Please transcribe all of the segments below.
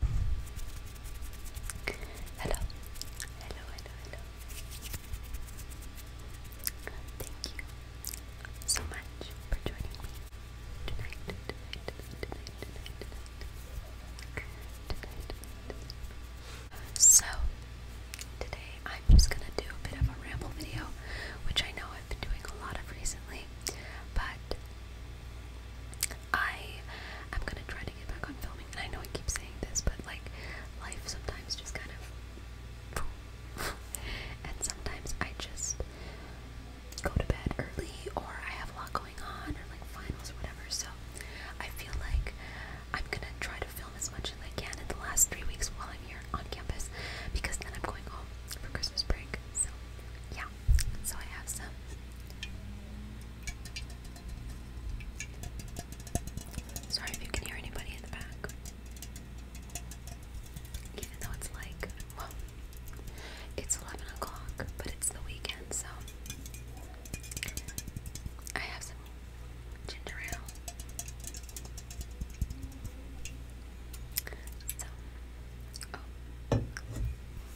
Hello, hello, hello, hello. Thank you so much for joining me tonight, So, today I'm just gonna do a bit of a ramble video, which I know I've been doing a lot of recently, but I am gonna try to get back on filming, and I know I keep saying this, but like life sometimes just kind of, and sometimes I just go to bed early, or I have a lot going on, or like finals or whatever. So I feel like I'm gonna try to film as much as I can in the last three weeks while I'm here on campus, because then I'm going home for Christmas break. So yeah, so I have some Sorry if you can hear anybody in the back. Even though it's like, well, it's 11 o'clock, but it's the weekend, so I have some ginger ale. So, oh,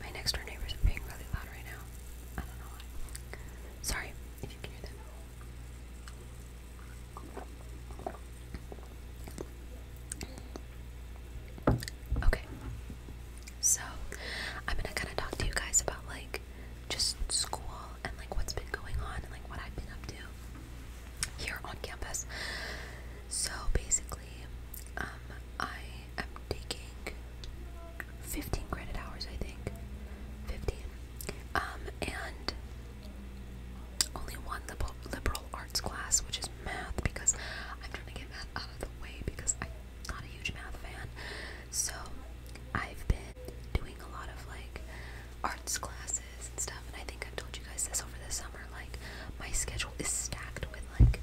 My next door neighbors are being really loud right now. I don't know why. Sorry if you can hear them. Okay. So, I'm gonna kind of talk to you guys about like just school and like what's been going on and like what I've been up to here on campus. So basically, um, I am taking 15 credit hours, I think. 15. Um, and only one liberal, liberal arts class, which is math, because I'm trying to get math out of the way because I'm not a huge math fan. So I've been doing a lot of like arts classes classes and stuff, and I think I've told you guys this over the summer. Like, my schedule is stacked with like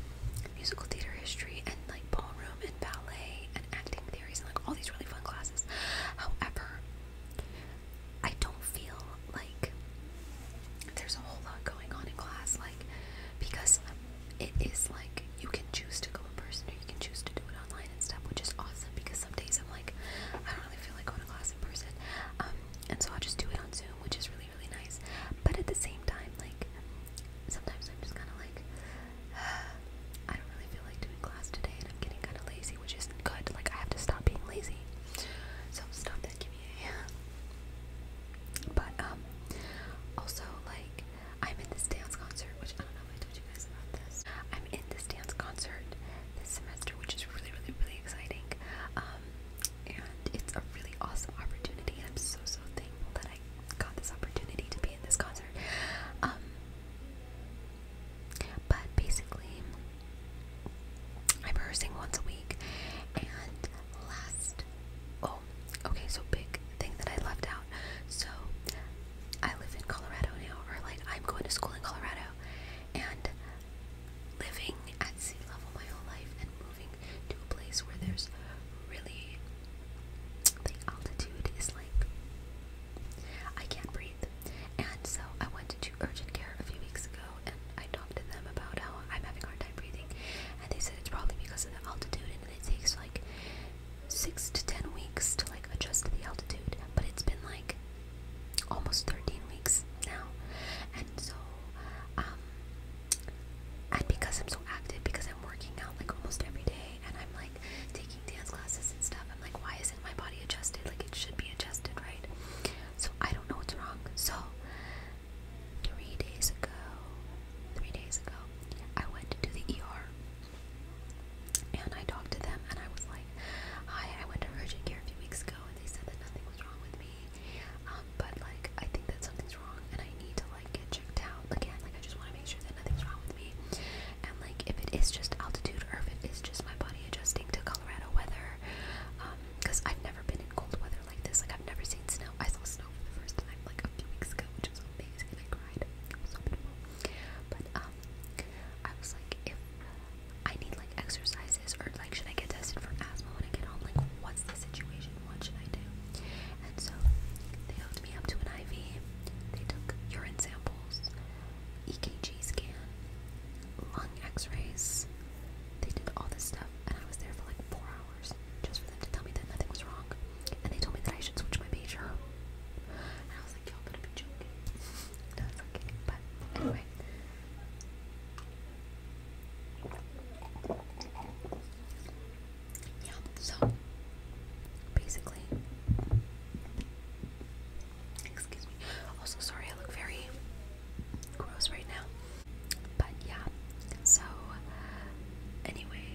musical theater history and like ballroom and ballet and acting theories and like all these really fun classes. However, I don't feel like there's a whole lot going on in class, like because it is like you can choose to go in person or you can choose to do it online and stuff, which is awesome because some days I'm like, I don't really feel like going to class in person. Um, and so I'll just do it on Zoom, which is really really nice. But at the same time, like sometimes I'm just kind of like, I don't really feel like doing class today, and I'm getting kind of lazy, which isn't good. Like I have to stop being lazy. So stop that, give me a. But um, also like I'm in this dance concert, which I don't know if I told you guys about this. I'm in this dance concert this semester, which is really really really exciting. Um, and it's a really awesome opportunity and I'm so so thankful that I got this opportunity to be in this concert um but basically I'm rehearsing once a week and last oh okay so big thing that I left out so I live in Colorado now or like I'm going to school in Colorado and living at sea level my whole life and moving to a place where there's really the altitude is like I can't breathe. And so I went to urgent care a few weeks ago and I talked to them about how I'm having hard time breathing and they said it's probably because of the altitude and it takes like six to ten weeks to like adjust to the altitude. But it's been like almost 13 weeks now and so um and because I'm so active because I'm working out like almost every day and I'm like taking dance classes and stuff I'm like why isn't my body adjusted like it should be adjusted right so I don't know what's wrong so three days ago three days ago I went to the ER and I talked to them and I was like hi I went to urgent care a few weeks ago and they said that nothing was wrong with me um, but like I think that something's wrong and I need to like get checked out again. Like I just want to make sure that nothing's wrong with me. And like if it is just altitude or if it is just my body adjusting to Colorado weather, because um, I've never been in cold weather like this. Like I've never seen snow. I saw snow for the first time like a few weeks ago, which was amazing. And I cried. It was so beautiful. But um, I was like, if I need like exercises or like should I get tested for asthma when I get home? Like what's the situation? What should I do? And so they hooked me up to an IV. They took urine samples, EKG scan, lung x-rays. They did all this stuff and I was there for like four hours just for them to tell me that nothing was wrong. And they told me that I should switch my major. And I was like, y'all better be joking. no, it's okay. But anyway, yeah, so basically, excuse me. Also, sorry, I look very gross right now. But yeah, so anyway,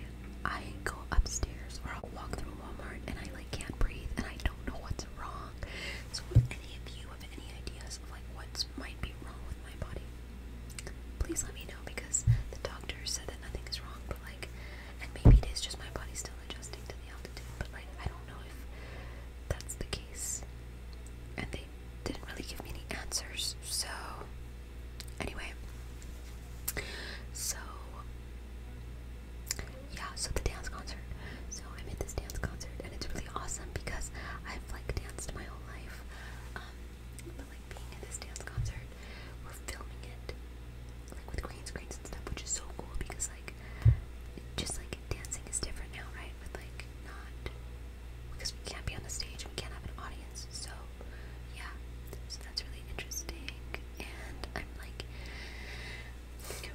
I go upstairs or I'll walk through Walmart and I like can't breathe and I don't know what's wrong. So, any of you have any ideas of like what might be wrong with my body, please let me know because the doctor said that nothing is wrong, but like, and maybe it is just my body still adjusting to the altitude, but like, I don't know if that's the case. And they didn't really give me any answers, so anyway, so yeah, so the dance concert. So I'm at this dance concert, and it's really awesome because I'm I've like danced my whole life, um, but like being at this dance concert, we're filming it like with green screens and stuff, which is so cool because like just like dancing is different now, right? With like not because we can't be on the stage and we can't have an audience, so yeah, so that's really interesting, and I'm like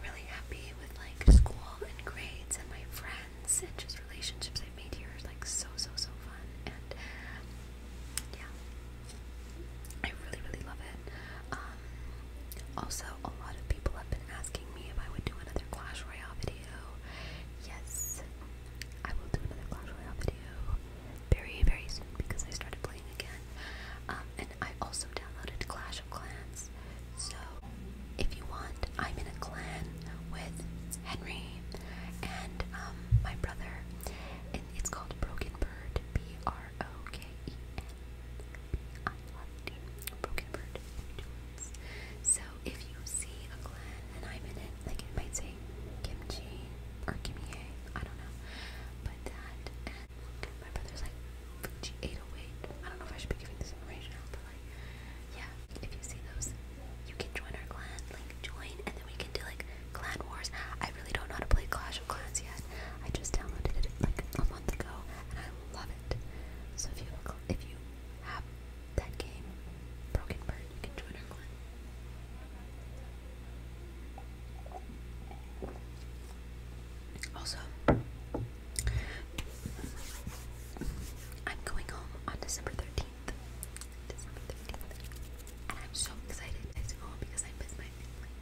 really happy with like school and grades and my friends friends and just relationships I've made here are like so so so fun and yeah I really really love it um, also a lot of people have been asking me if I would do another Clash Royale video yes I will do another Clash Royale video very very soon because I started playing again um, and I also downloaded Clash of Clans so, if you want, I'm in a clan with Henry and um, my brother, and it's called Broken Bird. B R O K E N B I R D. Broken Bird. So, if you see a clan and I'm in it, like it might say Kimchi or Kimie, I don't know, but that and my brother's like 808. I don't know if I should be giving this information but like, yeah, if you see those, you can join our clan, like join, and then we can do like clan wars. I really don't know how to play Clash of Clans yet. I just downloaded it like a month ago, and I love it. So if you if you have that game, Broken Bird, you can join our clan. Also, I'm going home on December 13th. December 13th. And I'm so excited to go home because I miss my family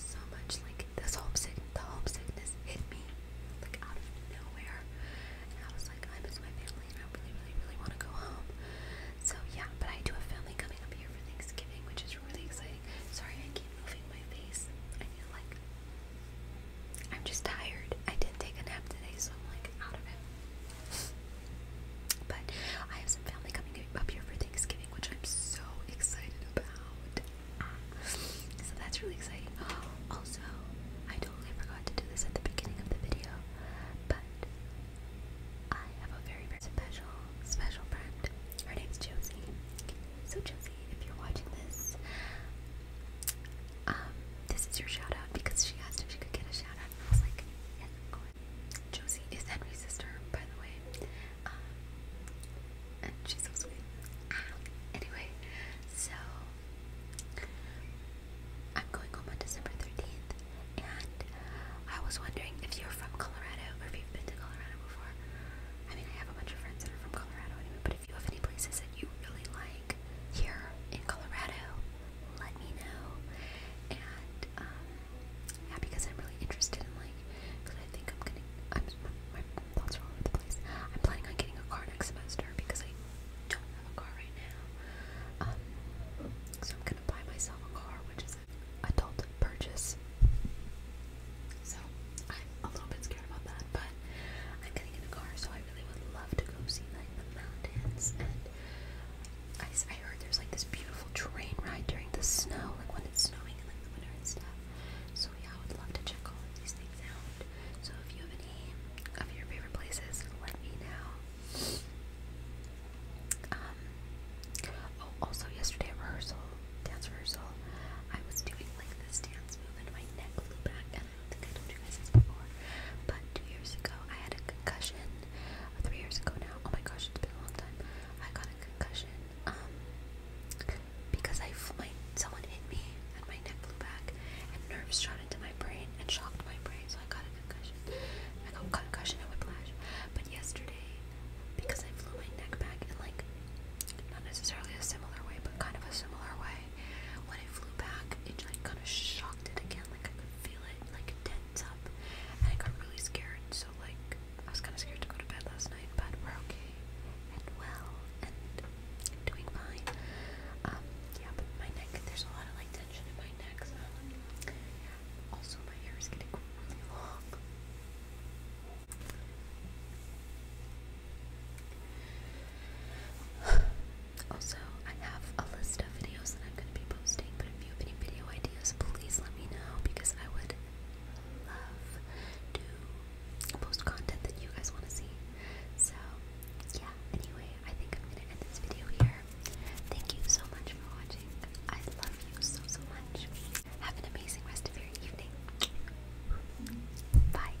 so much. Like, this homesick, the homesickness hit me, like, out of nowhere. And I was like, I miss my family and I really, really, really want to go home. So, yeah, but I do have family coming up here for Thanksgiving, which is really exciting. Sorry, I keep moving my face. I feel like I'm just tired. I didn't take a nap today, so I'm like out of it. But I have some family coming up here for Thanksgiving, which I'm so excited about. So that's really exciting. Also, I totally forgot to do this at the beginning of the video, but I have a very, very special, special friend. Her name's Josie. So Josie, if you're watching this, um, this is your shout because she asked if she could get a shout I was like, yes, of course. Josie is Henry's sister, by the way. Um, and she's so sweet. Ah, anyway, so I'm going home on December 13th, and uh, I was wondering if you're from Colorado or if you've been to Colorado before. I mean, I have a bunch of friends that are from Colorado anyway, but if you have any places that you really like here in Colorado, let me know. And um, yeah, because I'm really interested in like, because I think I'm gonna, I'm, my thoughts are all over the place. I'm planning on getting a car next semester because I don't have a car right now. Um, so I'm gonna buy myself a car, which is an adult purchase. So I'm a little bit scared about that, but I'm getting in a car, so I really would love to go see like the mountains. And I, I heard there's like this beautiful train ride during the snow, like when it's snowing and like the winter and stuff. So yeah, I would love to check all of these things out. So if you have any of your favorite places, let me know. Um. Oh, also yesterday at rehearsal, dance rehearsal, I was doing like this dance move, and my neck flew back, I think I told you this before, but two years ago I had a concussion. Three years ago now. Oh my gosh, it's been a long time. I got a concussion um, because I my, someone hit me and my neck flew back and nerves shot into my brain and shocked my brain, so I got a concussion. I got a concussion and whiplash. But yesterday, because I flew my neck back in like not necessarily a similar way, but kind of a similar way. When it flew back, it like kind of shocked again. Like I could feel it like tense up, and I got really scared. So like I was kind of scared to go to bed last night, but we're okay and well and doing fine. Um, yeah, but my neck. There's a lot of like tension in my neck. So also my hair is getting really long. Also, I have a list of videos that I'm going to be posting, but if you have any video ideas, please let me know because I would love to post content that you guys want to see. So, yeah, anyway, I think I'm going to end this video here. Thank you so much for watching. I love you so, so much. Have an amazing rest of your evening. Bye.